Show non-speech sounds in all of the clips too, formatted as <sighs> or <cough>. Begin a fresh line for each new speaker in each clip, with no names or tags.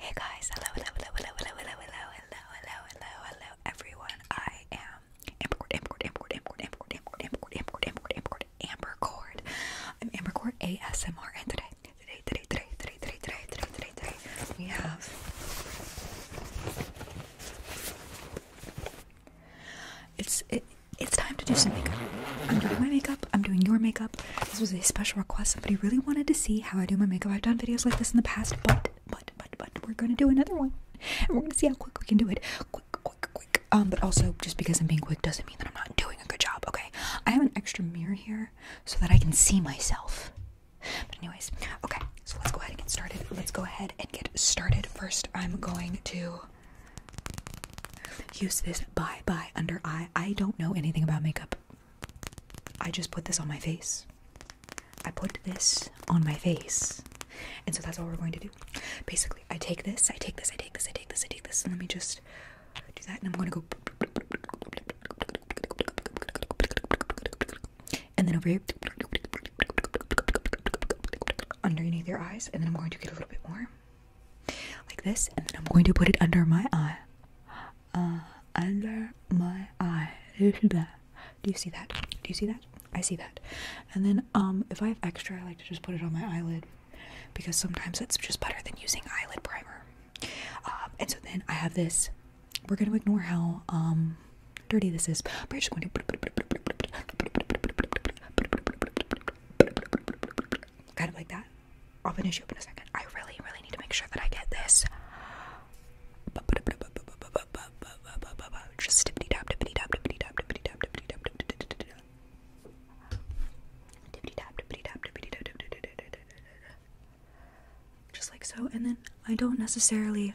Hey guys, hello, hello, hello, hello, hello, hello, hello, hello, hello, hello, everyone. I am Ambercord, Ambercord, Ambercord, Ambercord, Ambercord, Ambercord, Ambercord, Ambercord, Ambercord, Ambercord. I'm Ambercord ASMR, and today, today, today, today, today, today, today, today, today, today, we have it's it, it's time to do some makeup. I'm doing my makeup. I'm doing your makeup. This was a special request. Somebody really wanted to see how I do my makeup. I've done videos like this in the past, but but but but we're gonna do another one, we're gonna see how quick we can do it. Quick, quick, quick. Um, but also just because I'm being quick doesn't mean that I'm not doing a good job. Okay, I have an extra mirror here so that I can see myself. But anyways, okay. So let's go ahead and get started. Let's go ahead and get started. First, I'm going to use this Bye Bye Under Eye. I don't know anything about makeup. I just put this on my face. I put this on my face. And so that's all we're going to do. Basically, I take this, I take this, I take this, I take this, I take this, and let me just do that. And I'm going to go and then over here underneath your eyes and then i'm going to get a little bit more like this and then i'm going to put it under my eye uh, under my eye do you see that do you see that i see that and then um if i have extra i like to just put it on my eyelid because sometimes that's just better than using eyelid primer um, and so then i have this we're going to ignore how um dirty this is. We're just going to kind of like that. I'll finish you up in a second. I really, really need to make sure that I get this. Just tippity tap, tippity tap, tippity tap, tippity tap, tippity tap, tippity tap, tippity tap, tippity tap, just like so. And then I don't necessarily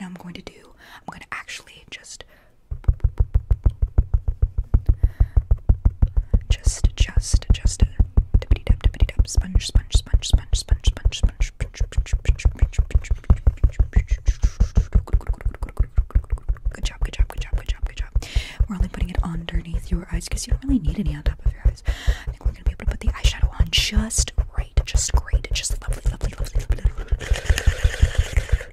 now I'm going to do, I'm going to actually just, just, just, just, dippity dip, dippity dip, sponge, sponge, sponge, sponge, sponge, sponge, sponge, Good job, good job, good job, good job, good job. We're only putting it underneath your eyes because you don't really need any on top of your eyes. I think we're gonna be able to put the eyeshadow on just right, just great, just lovely, lovely, lovely, lovely.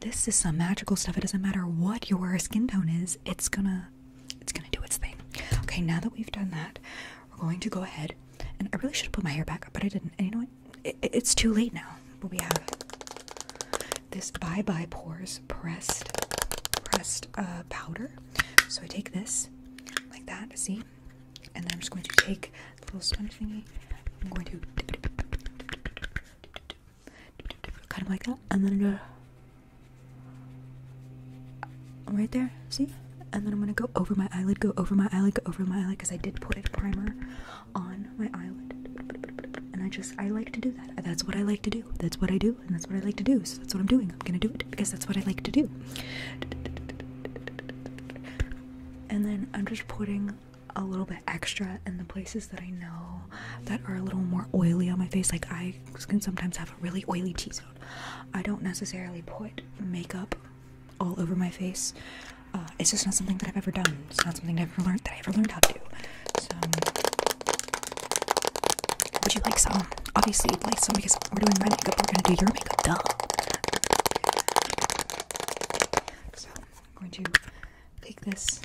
this is some magical stuff. It doesn't matter what your skin tone is, it's gonna it's gonna do its thing. Okay, now that we've done that, we're going to go ahead and I really should have put my hair back up, but I didn't. And you know what? it's too late now. But we have this Bye Bye Pores pressed pressed uh, powder. So I take this like that, see? And I'm just going to take the little sponge thingy. I'm going to dip, kind of like that, and then right there. See, and then I'm gonna go over my eyelid, go over my eyelid, go over my eyelid, because I did put a primer on my eyelid, and I just I like to do that. That's what I like to do. That's what I do, and that's what I like to do. So that's what I'm doing. I'm gonna do it because that's what I like to do. And then I'm just putting a little bit extra in the places that I know that are a little more oily on my face. Like I can sometimes have a really oily T-zone. I don't necessarily put makeup all over my face. Uh, it's just not something that I've ever done. It's not something I've ever learned that I ever learned how to So, would you like some? Obviously, you'd like some because we're doing my makeup. We're gonna do your makeup, duh. So, I'm going to take this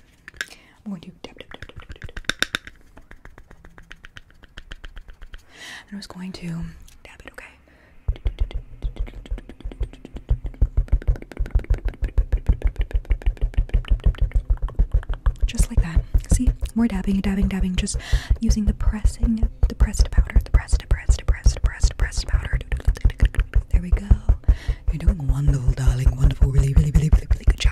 I'm going to tap dab, dab, dab, dab, dab, And I was going to dab it, okay? Just like that. See, more dabbing, dabbing, dabbing. Just using the pressing, the pressed powder, the pressed, pressed, pressed, pressed, pressed powder. There we go. You're doing wonderful, darling. Wonderful. Really, really, really, really, really good job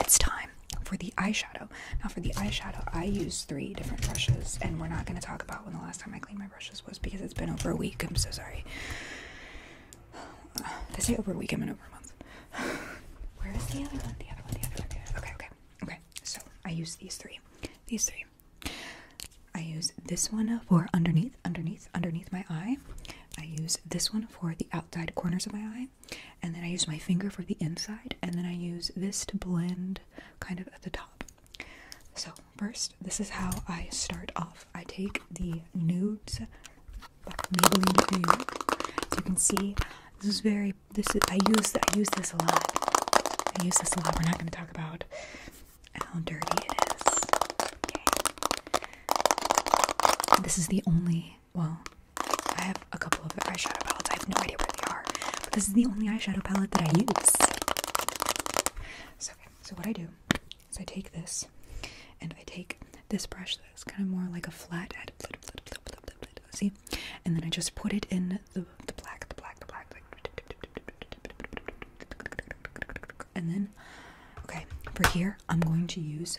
it's time for the eyeshadow. Now, for the eyeshadow, I use three different brushes, and we're not going to talk about when the last time I cleaned my brushes was because it's been over a week. I'm so sorry. I <sighs> say over a week, I meant over a month. <sighs> Where is The other one, the other one, the other one. Okay, okay, okay. So I use these three. These three. I use this one for underneath, underneath, underneath my eye. I use this one for the outside corners of my eye, and then I use my finger for the inside, and then I use this to blend kind of at the top. So, first, this is how I start off. I take the nudes you can see, this is very this is I use I use this a lot. I use this a lot. We're not going to talk about how dirty it is. Okay. This is the only well, I have a couple of eyeshadow palettes. I have no idea where they are, but this is the only eyeshadow palette that I use. So, so what I do is I take this and I take this brush that's kind of more like a flat head. See? And then I just put it in the, the black, the black, the black. and then, okay, for here, I'm going to use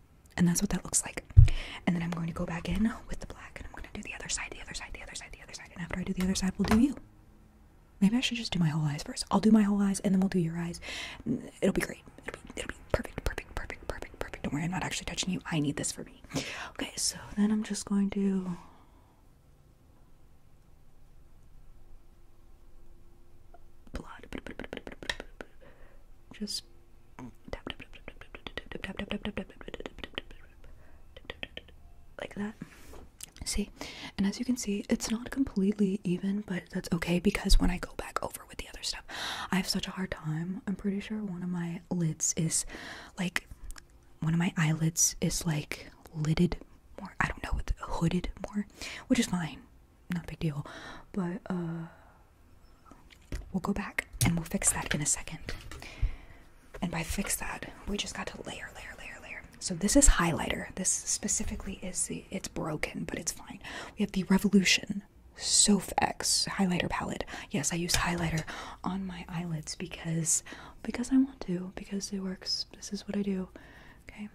and that's what that looks like and then I'm going to go back in with the black and I'm going to do the other side the other side the other side the other side and after I do the other side we'll do you maybe I should just do my whole eyes first I'll do my whole eyes and then we'll do your eyes it'll be great it'll be, perfect perfect perfect perfect perfect don't worry I'm not actually touching you I need this for me okay so then I'm just going to Just like that see and as you can see it's not completely even but that's okay because when i go back over with the other stuff i have such a hard time i'm pretty sure one of my lids is like one of my eyelids is like lidded more i don't know it's hooded more which is fine not a big deal but uh We'll go back and we'll fix that in a second. And by fix that, we just got to layer, layer, layer, layer. So this is highlighter. This specifically is the, it's broken, but it's fine. We have the Revolution SoFX highlighter palette. Yes, I use highlighter on my eyelids because, because I want to, because it works. This is what I do. Okay.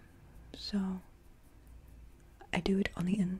So I do it on the end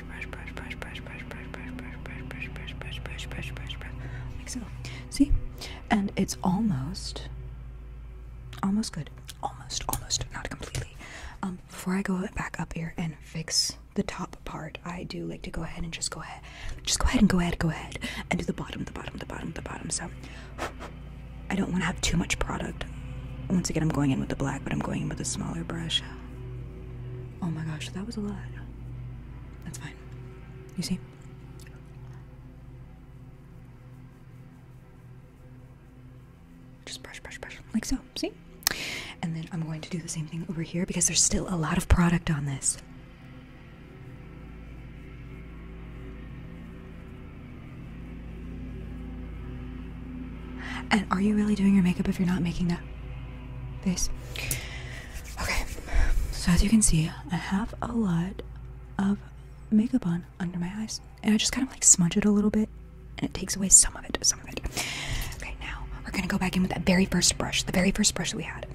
like so. See, and it's almost, almost good, almost, almost, not completely. Um, before I go back up here and fix the top part, I do like to go ahead and just go ahead, just go ahead and go ahead, go ahead, and do the bottom, the bottom, the bottom, the bottom. So I don't want to have too much product. Once again, I'm going in with the black, but I'm going in with a smaller brush. Oh my gosh, that was a lot. That's fine. You see? Just brush, brush, brush. Like so. See? And then I'm going to do the same thing over here because there's still a lot of product on this. And are you really doing your makeup if you're not making that base. Okay, so as you can see, I have a lot of makeup on under my eyes, and I just kind of like smudge it a little bit, and it takes away some of it, some of it. Okay, now we're gonna go back in with that very first brush, the very first brush that we had.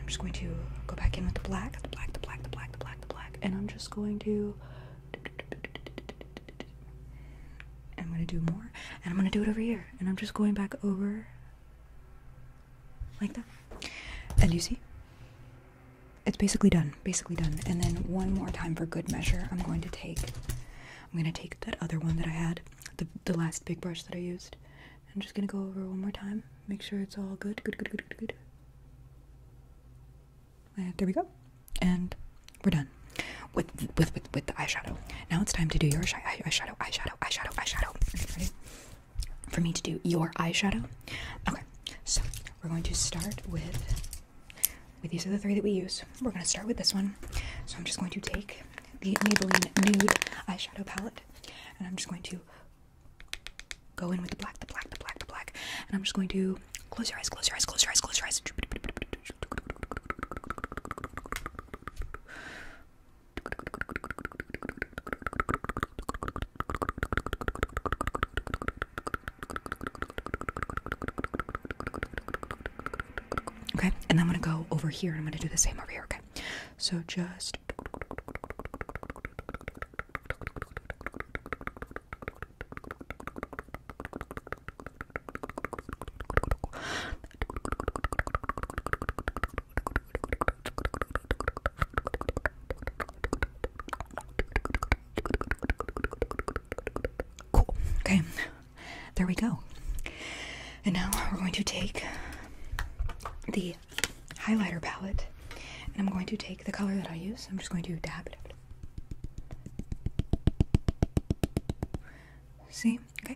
I'm just going to go back in with the black, the black, the black, the black, the black, the black, and I'm just going to. I'm gonna do more, and I'm gonna do it over here and I'm just going back over like that. And you see? It's basically done, basically done. And then one more time for good measure, I'm going to take I'm going to take that other one that I had, the the last big brush that I used. I'm just going to go over one more time, make sure it's all good. Good, good, good, good, good. Uh, there we go. And we're done with with with, the eyeshadow. Now it's time to do your eye, eyeshadow, eyeshadow, eyeshadow, eyeshadow. Ready? For me to do your eyeshadow. Okay, so we're going to start with. With these are the three that we use. We're going to start with this one. So I'm just going to take the Maybelline Nude eyeshadow palette, and I'm just going to go in with the black, the black, the black, the black, and I'm just going to close your eyes, close your eyes, close your eyes, close your eyes. Okay, and I'm gonna go over here and I'm gonna do the same over here, okay? So just Cool. Okay. There we go. And now we're going to take the highlighter palette and I'm going to take the color that I use. I'm just going to dab it. See? Okay.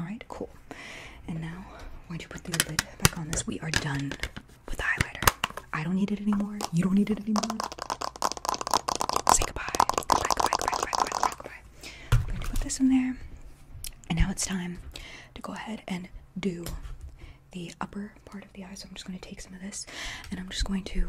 Alright, cool. And now, why don't you put the lid back on this, we are done with the highlighter. I don't need it anymore. You don't need it anymore. Say goodbye. Goodbye, goodbye, goodbye, goodbye, gonna put this in there. And now it's time to go ahead and do the upper part of the eye. So I'm just gonna take some of this and I'm just going to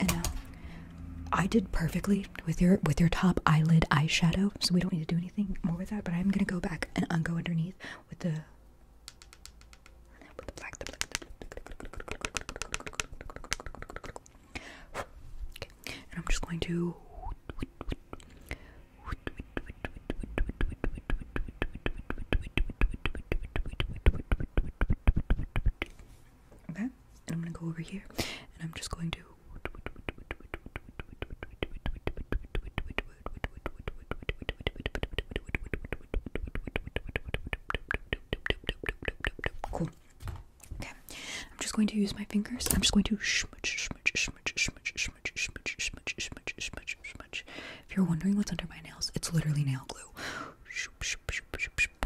And now I did perfectly with your with your top eyelid eyeshadow, so we don't need to do anything more with that. But I'm gonna go back and un go underneath with the Okay. And I'm just going to. Okay, I'm gonna go over here and I'm just going to Cool. Okay. I'm just going to use my fingers. I'm just going to smudge, smudge, smudge, smudge, smudge, smudge, smudge, smudge, smudge, smudge. If you're wondering what's under my nails, it's literally nail glue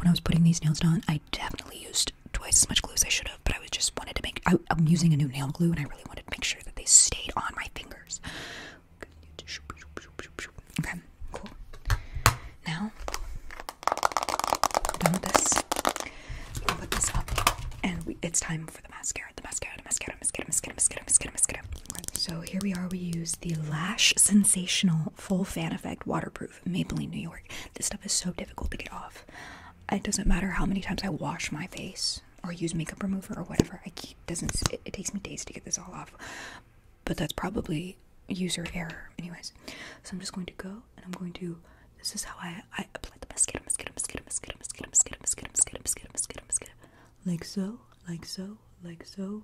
when I was putting these nails on, I definitely used twice as much glue as I should have, but I was just wanted to make. I, am using a new nail glue, and I really wanted to make sure that they stayed on my fingers. Okay, cool. Now, done with this. put this up, and it's time for the mascara. The mascara, the mascara, mascara, mascara, mascara, mascara, mascara. so here we are. We use the Lash Sensational full fan effect waterproof Maybelline New York. This stuff is so difficult to get off. It doesn't matter how many times I wash my face or use makeup remover or whatever. I doesn't it, takes me days to get this all off. But that's probably user error anyways. So I'm just going to go and I'm going to this is how I I apply the mascara mascara mascara mascara mascara mascara mascara mascara mascara mascara mascara like so like so like so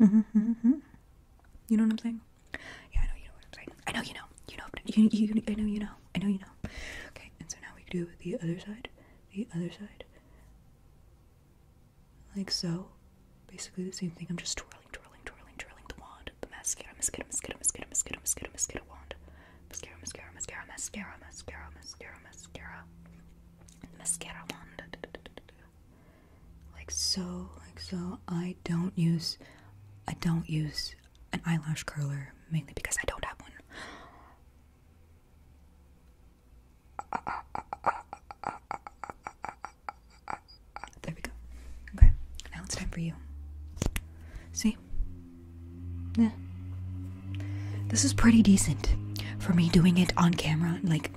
Mm-hmm, mm-hmm. You know what I'm saying? Yeah, I know you know what I'm saying. I know you know. You know. You, you, I know you know. I know you know. Okay, and so now we do the other side. The other side. Like so. Basically the same thing. I'm just twirling, twirling, twirling, twirling the wand. The mascara, mascara, mascara, mascara, mascara, mascara, mascara wand. Mascara, mascara, mascara, mascara, mascara, mascara, mascara. Mascara wand like so, like so. I don't use, I don't use an eyelash curler mainly because I don't have one. There we go. Okay, now it's time for you. See? Yeah. This is pretty decent for me doing it on camera, like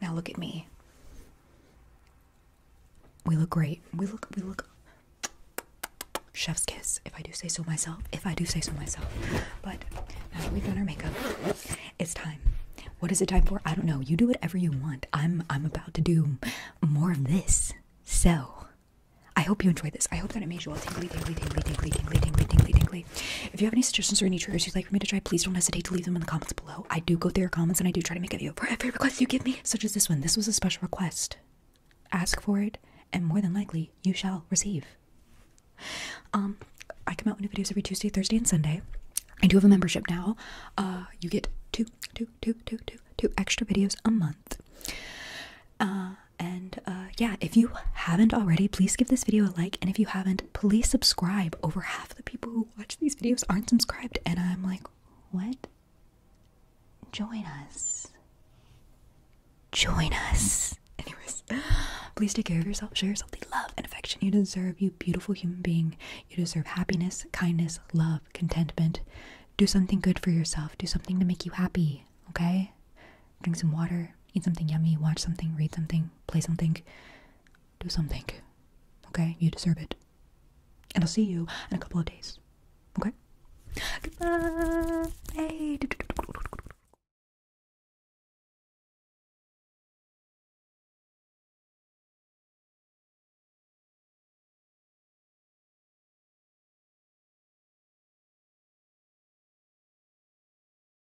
Now look at me. We look great. We look, we look. Chef's kiss, if I do say so myself. If I do say so myself. But now that we've done our makeup, it's time. What is it time for? I don't know. You do whatever you want. I'm I'm about to do more of this. So I hope you enjoyed this. I hope that it made you all tingly, tingly, tingly, tingly, tingly, tingly, tingly, tingly, tingly, if you have any suggestions or any triggers you'd like for me to try, please don't hesitate to leave them in the comments below. I do go through your comments and I do try to make a video for every request you give me, such as this one. This was a special request. Ask for it, and more than likely, you shall receive. Um, I come out with new videos every Tuesday, Thursday, and Sunday. I do have a membership now. Uh, you get two, two, two, two, two, two extra videos a month. Uh, and uh, yeah, if you haven't already, please give this video a like. And if you haven't, please subscribe. Over half the people who watch these videos aren't subscribed, and I'm like, what? Join us. Join us. Anyways, please take care of yourself. Show yourself the love and affection you deserve, you beautiful human being. You deserve happiness, kindness, love, contentment. Do something good for yourself. Do something to make you happy, okay? Drink some water, eat something yummy, watch something, read something, play something do something. Okay? You deserve it. And I'll see you in a couple of days. Okay? Goodbye.